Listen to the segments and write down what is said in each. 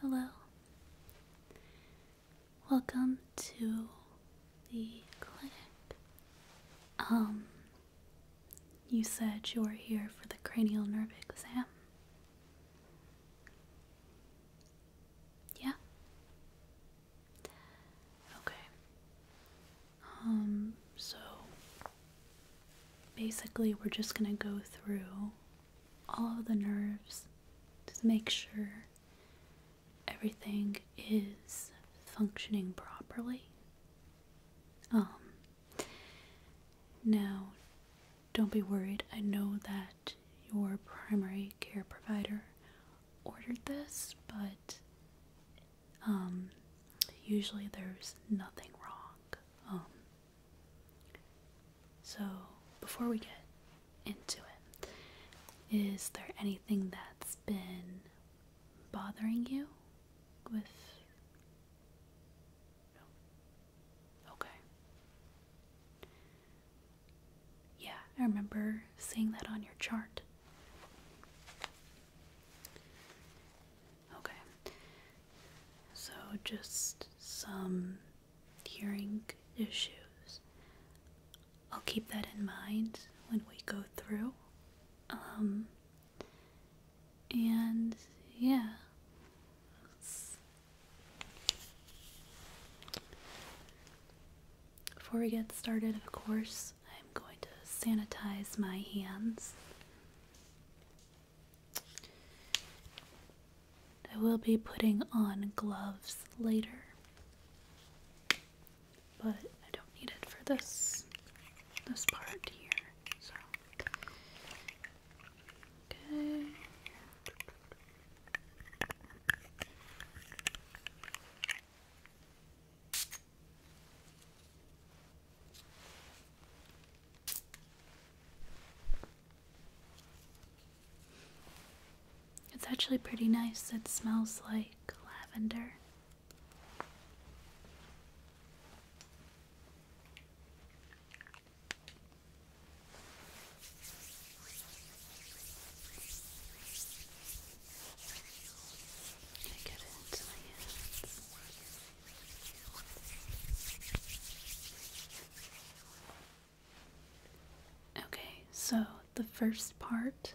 Hello. Welcome to the clinic. Um, you said you are here for the cranial nerve exam. Yeah? Okay. Um, so Basically, we're just going to go through all the nerves to make sure everything is functioning properly. Um, now, don't be worried. I know that your primary care provider ordered this, but um, usually there's nothing wrong. Um, so, before we get into it, is there anything that's been bothering you with? Okay. Yeah, I remember seeing that on your chart. Okay. So just some hearing issues. I'll keep that in mind when we go through. Um, and yeah. Before we get started, of course, I'm going to sanitize my hands. I will be putting on gloves later, but I don't need it for this this part here. So okay. It's actually pretty nice. It smells like lavender. Okay, so the first part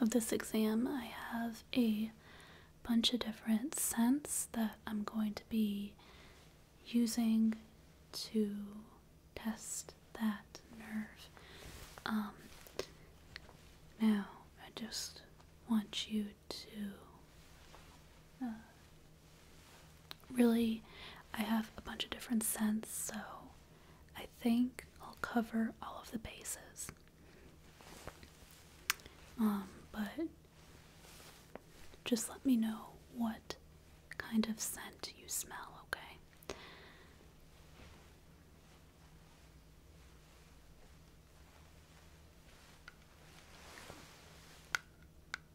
of this exam, I have a bunch of different scents that I'm going to be using to test that nerve. Um, now, I just want you to uh, really, I have a bunch of different scents, so I think I'll cover all of the bases. Um, but just let me know what kind of scent you smell, okay?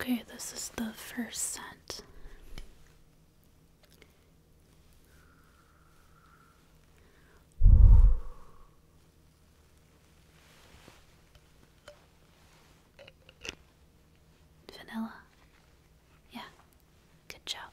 Okay, this is the first scent. Vanilla. Yeah, good job.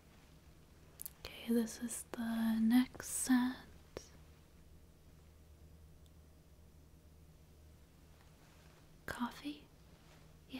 Okay, this is the next set. Coffee? Yeah.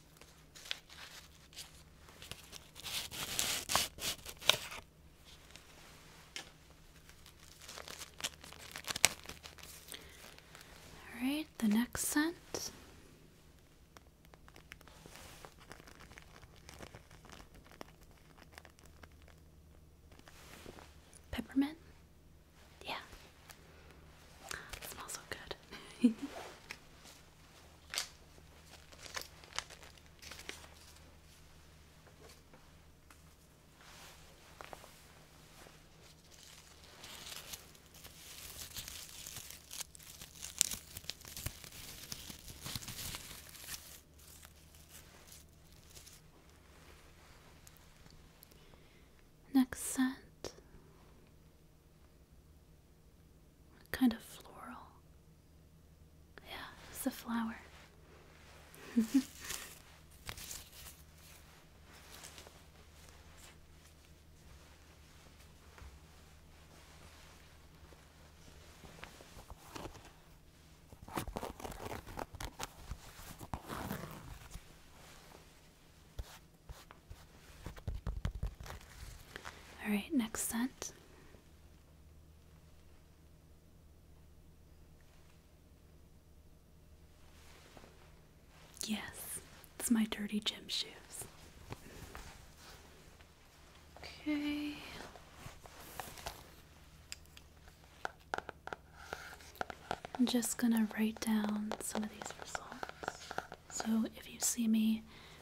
All right, the next scent. Peppermint? Yeah. smells so good. Next scent kind of floral? Yeah, it's a flower. All right, next scent. Yes, it's my dirty gym shoes. Okay. I'm just gonna write down some of these results. So if you see me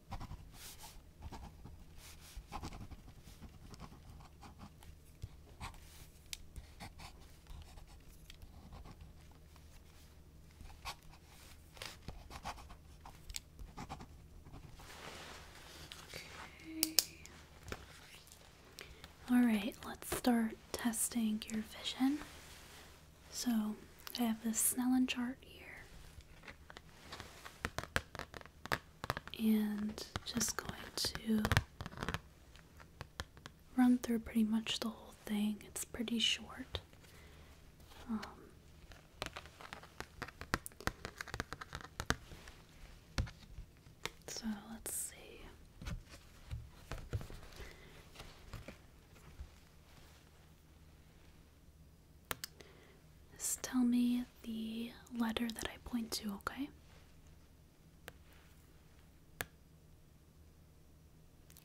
Okay. All right, let's start testing your vision. So, I have this Snellen chart here and just going to run through pretty much the whole thing. It's pretty short. Um, so let's see. Just tell me the letter that I point to, okay?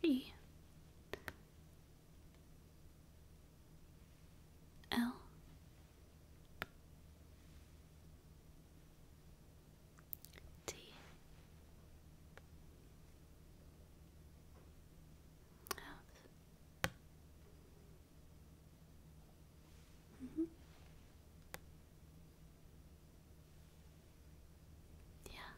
E L T F Mm -hmm. Yeah.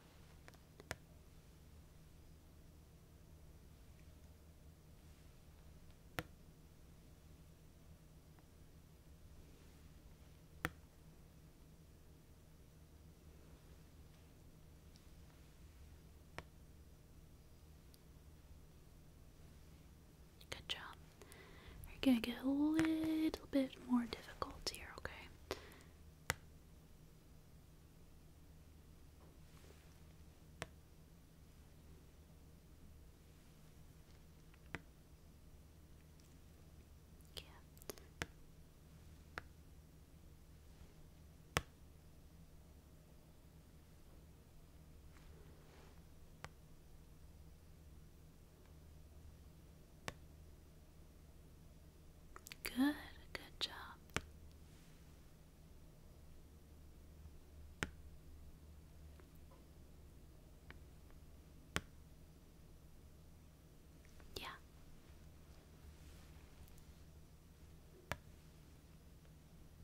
Good job. You're gonna get a little bit more difficult here, okay? Yeah. Good, good job. Yeah.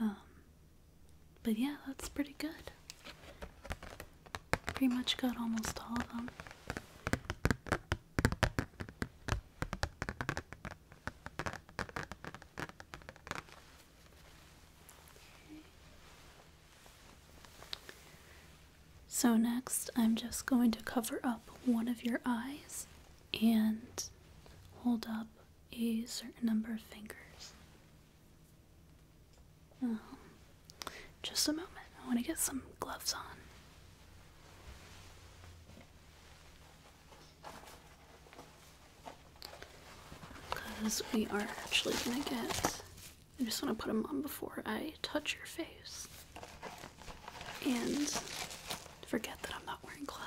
Um, but yeah, that's pretty good. Pretty much got almost all of them. So next, I'm just going to cover up one of your eyes and hold up a certain number of fingers. Oh, just a moment. I want to get some gloves on. Because we are actually going to get. I just want to put them on before I touch your face. And forget that I'm not wearing gloves.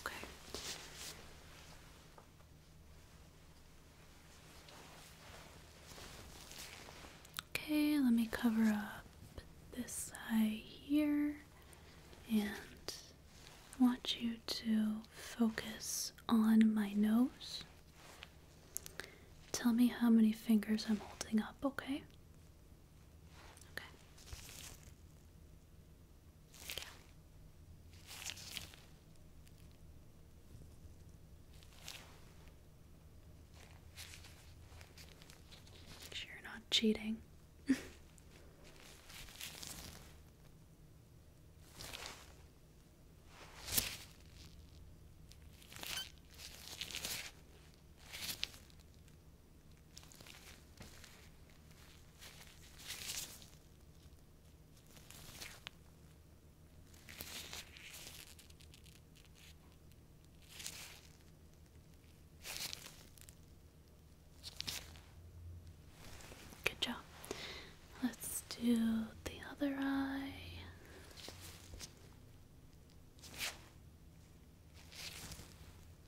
Okay. Okay, let me cover up this side here, and I want you to focus on my nose. Tell me how many fingers I'm holding up, Okay you're not cheating. Good job. Let's do the other eye.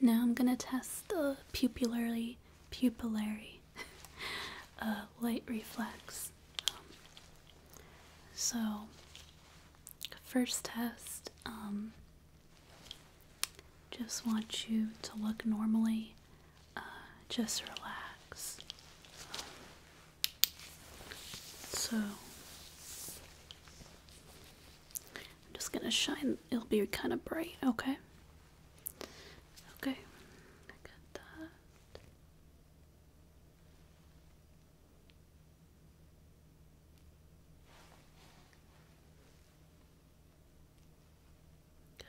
Now I'm gonna test the pupillary pupillary uh, light reflex. Um, so first test, um, just want you to look normally. Uh, just relax. Um, so I'm just gonna shine, it'll be kind of bright, okay? Okay, I got that.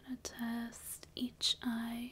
gonna test each eye.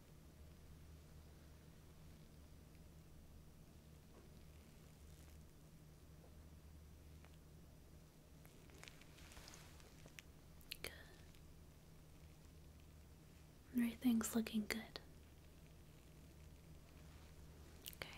Everything's looking good. Okay.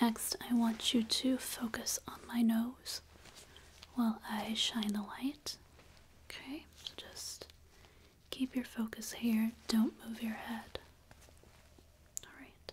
Next, I want you to focus on my nose while I shine the light. Okay, just keep your focus here, don't move your head. Alright.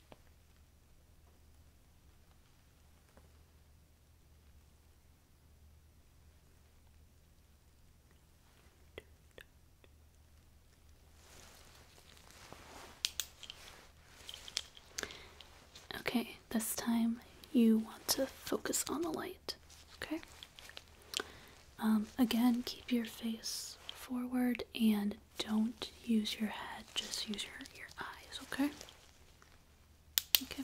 Okay, this time you want to focus on the light, okay? Um, again, keep your face forward and don't use your head, just use your, your eyes, okay? Okay.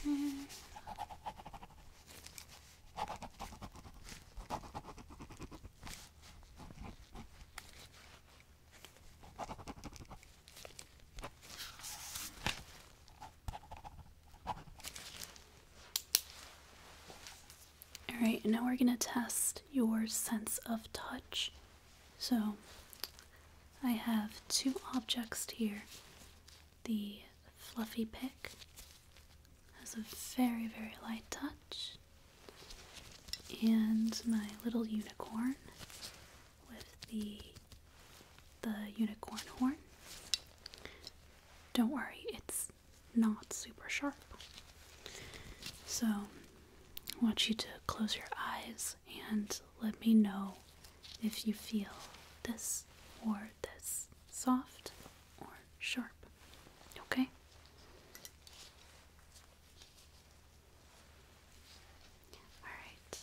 Okay. All right, now we're going to test your sense of touch. So I have two objects here. The fluffy pick has a very, very light touch, and my little unicorn with the the unicorn horn. Don't worry, it's not super sharp. So I want you to close your eyes and let me know if you feel this or this soft or sharp. Okay? Alright.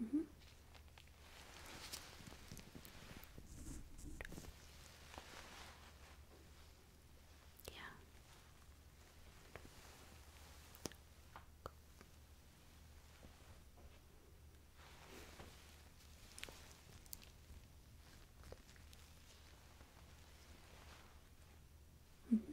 Mm -hmm. Yeah. Mm -hmm.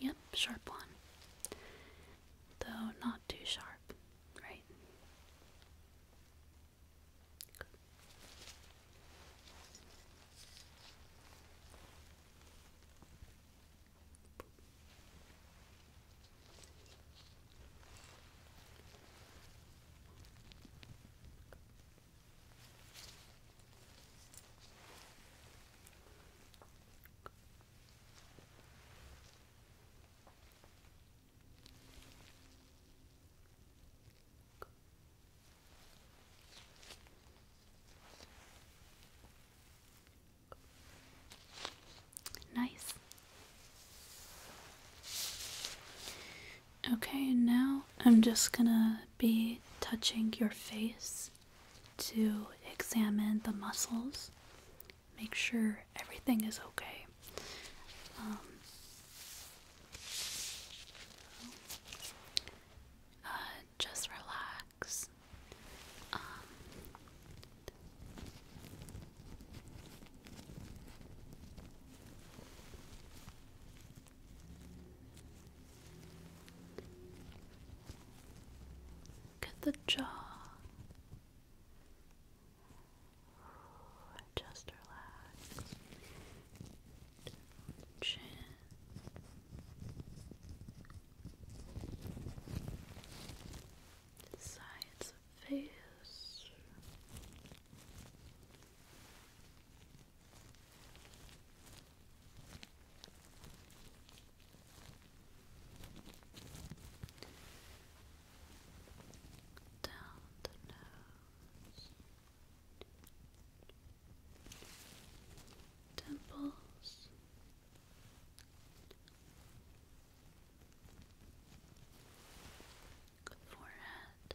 Yep, sharp one. Though not too sharp, right? Nice. Okay, now I'm just gonna be touching your face to examine the muscles, make sure everything is okay. Um, uh, just relax. Um, Look at the jaw. Just relax. Chin. Sides of face down the nose, temples. Forehead,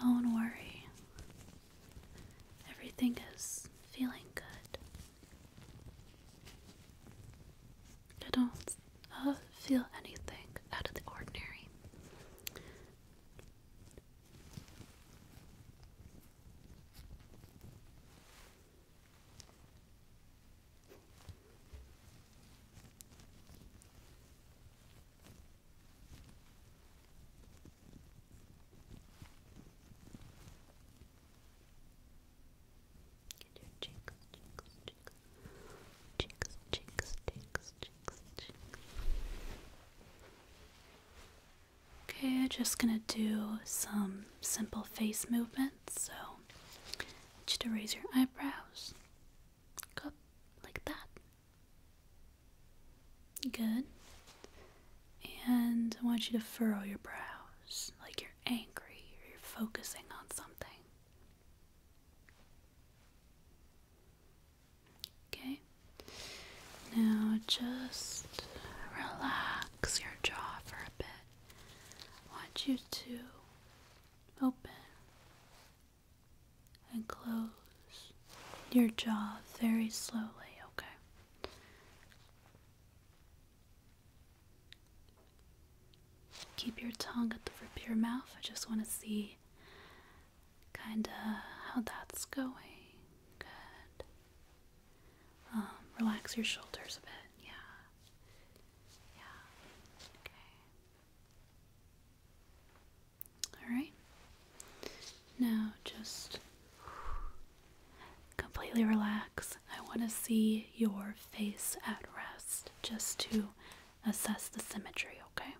Don't worry. Everything is feeling good. I don't feel anything out of the ordinary. Okay, I'm just gonna do some simple face movements. So, I to raise your eyebrows up like that. Good. And I want you to furrow your brows like you're angry or you're focusing on something. Okay. Now just relax your jaw for a bit. I want you to open and close your jaw very slowly, okay? Keep your tongue at the rip of your mouth. I just want to see kind of how that's going. Good. Um, relax your shoulders a bit, yeah. Yeah. Okay. All right. Now just completely relax. I want to see your face at rest just to assess the symmetry, okay?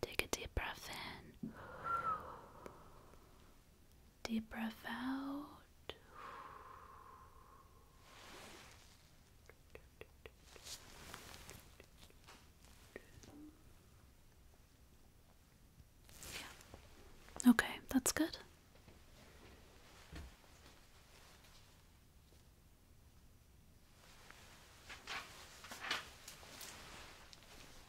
Take a deep breath in Deep breath out. Yeah. Okay, that's good.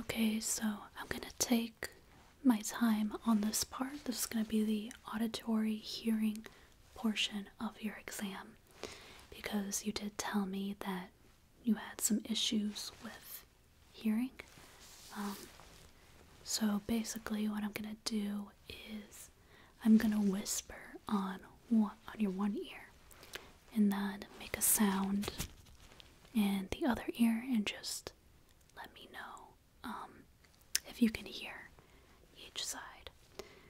Okay, so I'm going to take my time on this part. This is going to be the auditory hearing portion of your exam because you did tell me that you had some issues with hearing. Um, so basically, what I'm gonna do is I'm gonna whisper on one, on your one ear, and then make a sound in the other ear, and just let me know um, if you can hear each side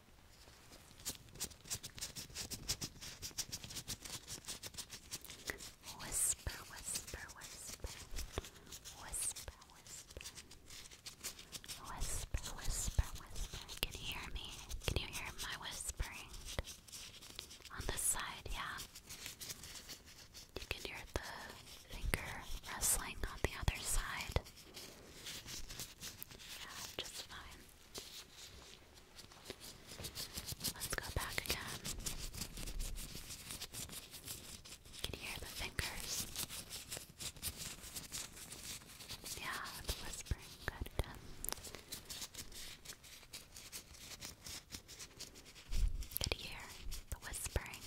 Whisper, whisper, whisper, whisper, whisper, whisper, whisper, whisper. Can you hear me? Can you hear my whispering? On this side, yeah. You can hear the finger rustling on the other side. Yeah, just fine. Let's go back again. can hear the fingers. Yeah, the whispering. Good again. Good hear the whispering.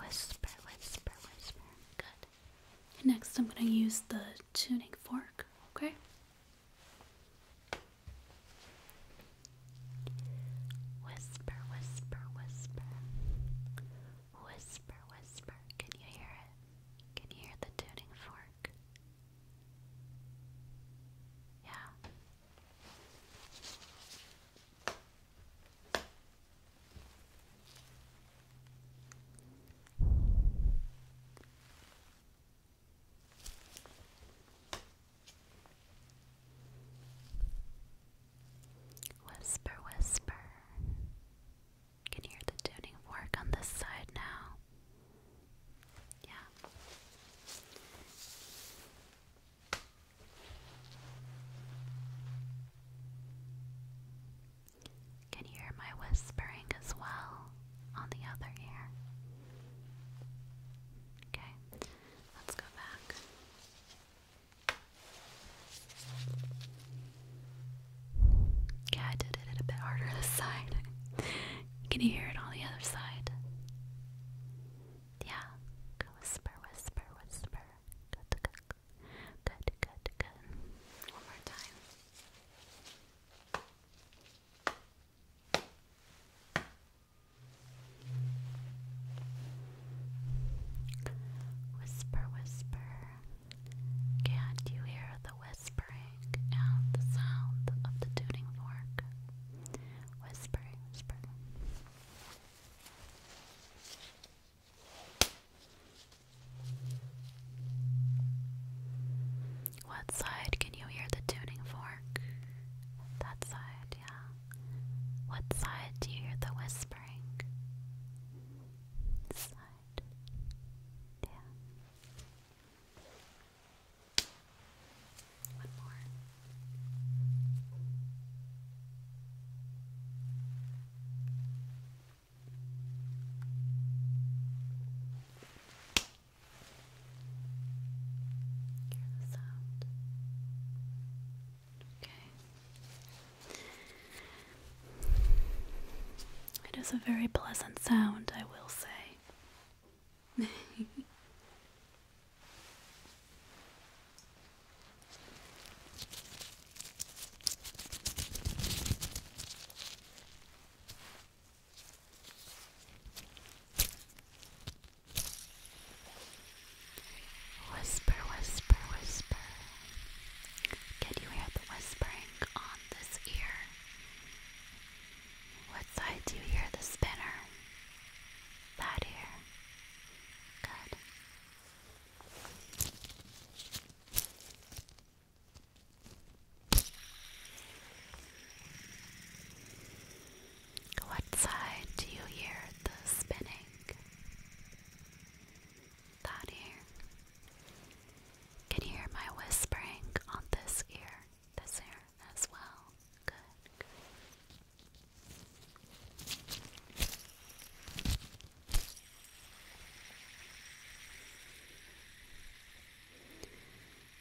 Whisper, whisper, whisper. Good. next, I'm going to use the tuning fork, okay? Whisper, whisper, whisper. Whisper, whisper. Can you hear it? Can you hear the tuning fork? Yeah. Whisper, whisper. Can hear the tuning fork on this side now? Yeah. Can you hear my whispering as well on the other ear? Okay, let's go back. Yeah, I did it a bit harder this side. Can you hear it on the other side? Yeah. whisper, whisper, whisper. Good, good, good, good, good. One more time. Whisper, whisper. Can't you hear the whispering and the sound of the tuning fork? Whispering, whispering. What side can you hear the tuning fork? That side, yeah. What side do you hear the whispering? This side. Yeah. One more. Hear the sound. Okay. It is a very pleasant sound, I will say. Whisper, whisper, whisper. Can you hear the whispering on this ear? What side do you hear the spinner? That ear. Good. What side do you hear the spinning? That ear. Can you hear my whispering on this ear? This ear as well. Good.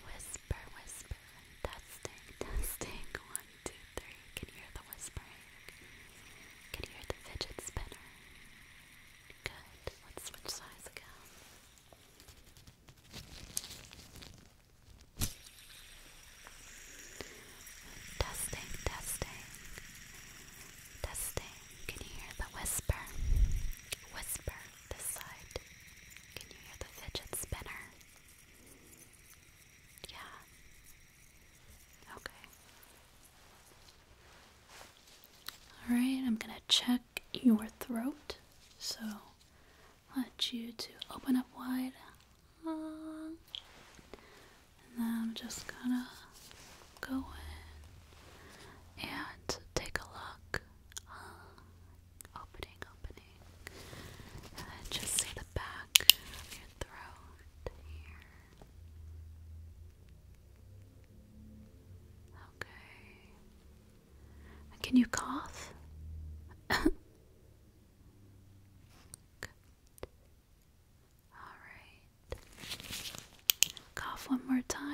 Whisper, whisper, Dusting, dusting. one, two, three. Can you hear the whispering? Can you hear the fidget spinner? Good. Let's switch sides again. Testing, testing, testing. Can you hear the whisper? Whisper, this side. Can you hear the fidget spinner? Yeah. Okay. Alright, I'm gonna check your throat. So, want you to open up wide. Uh, and I'm just gonna go in and take a look. Uh, opening, opening. just see the back of your throat here. Okay. can you cough? All right. Cough one more time.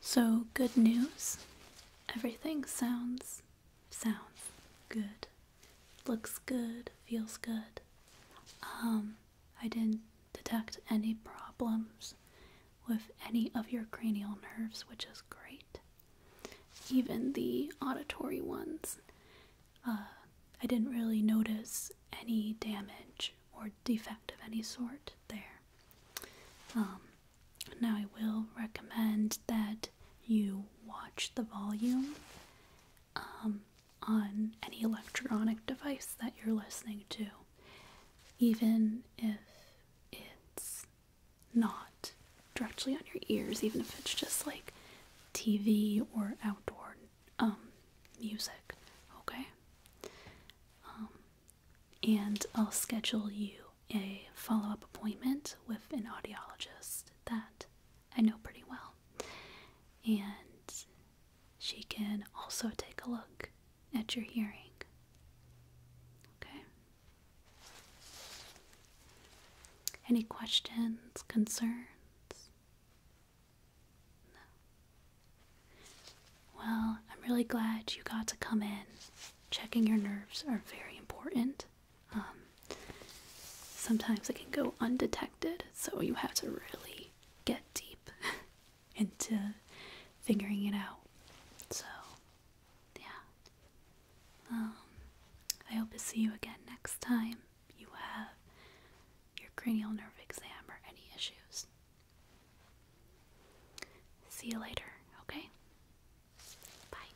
so, good news. Everything sounds, sounds good. Looks good, feels good. Um, I didn't detect any problems with any of your cranial nerves, which is great even the auditory ones. Uh, I didn't really notice any damage or defect of any sort there. Um, now, I will recommend that you watch the volume um, on any electronic device that you're listening to, even if it's not directly on your ears, even if it's just like TV or outdoor um, music, okay? Um, and I'll schedule you a follow up appointment with an audiologist that I know pretty well. And she can also take a look at your hearing. Okay? Any questions, concerns? No. Well, I'm really glad you got to come in. Checking your nerves are very important. Um, sometimes it can go undetected, so you have to really get deep into figuring it out. So, yeah. Um, I hope to see you again next time you have your cranial nerve exam or any issues. See you later, okay? Bye.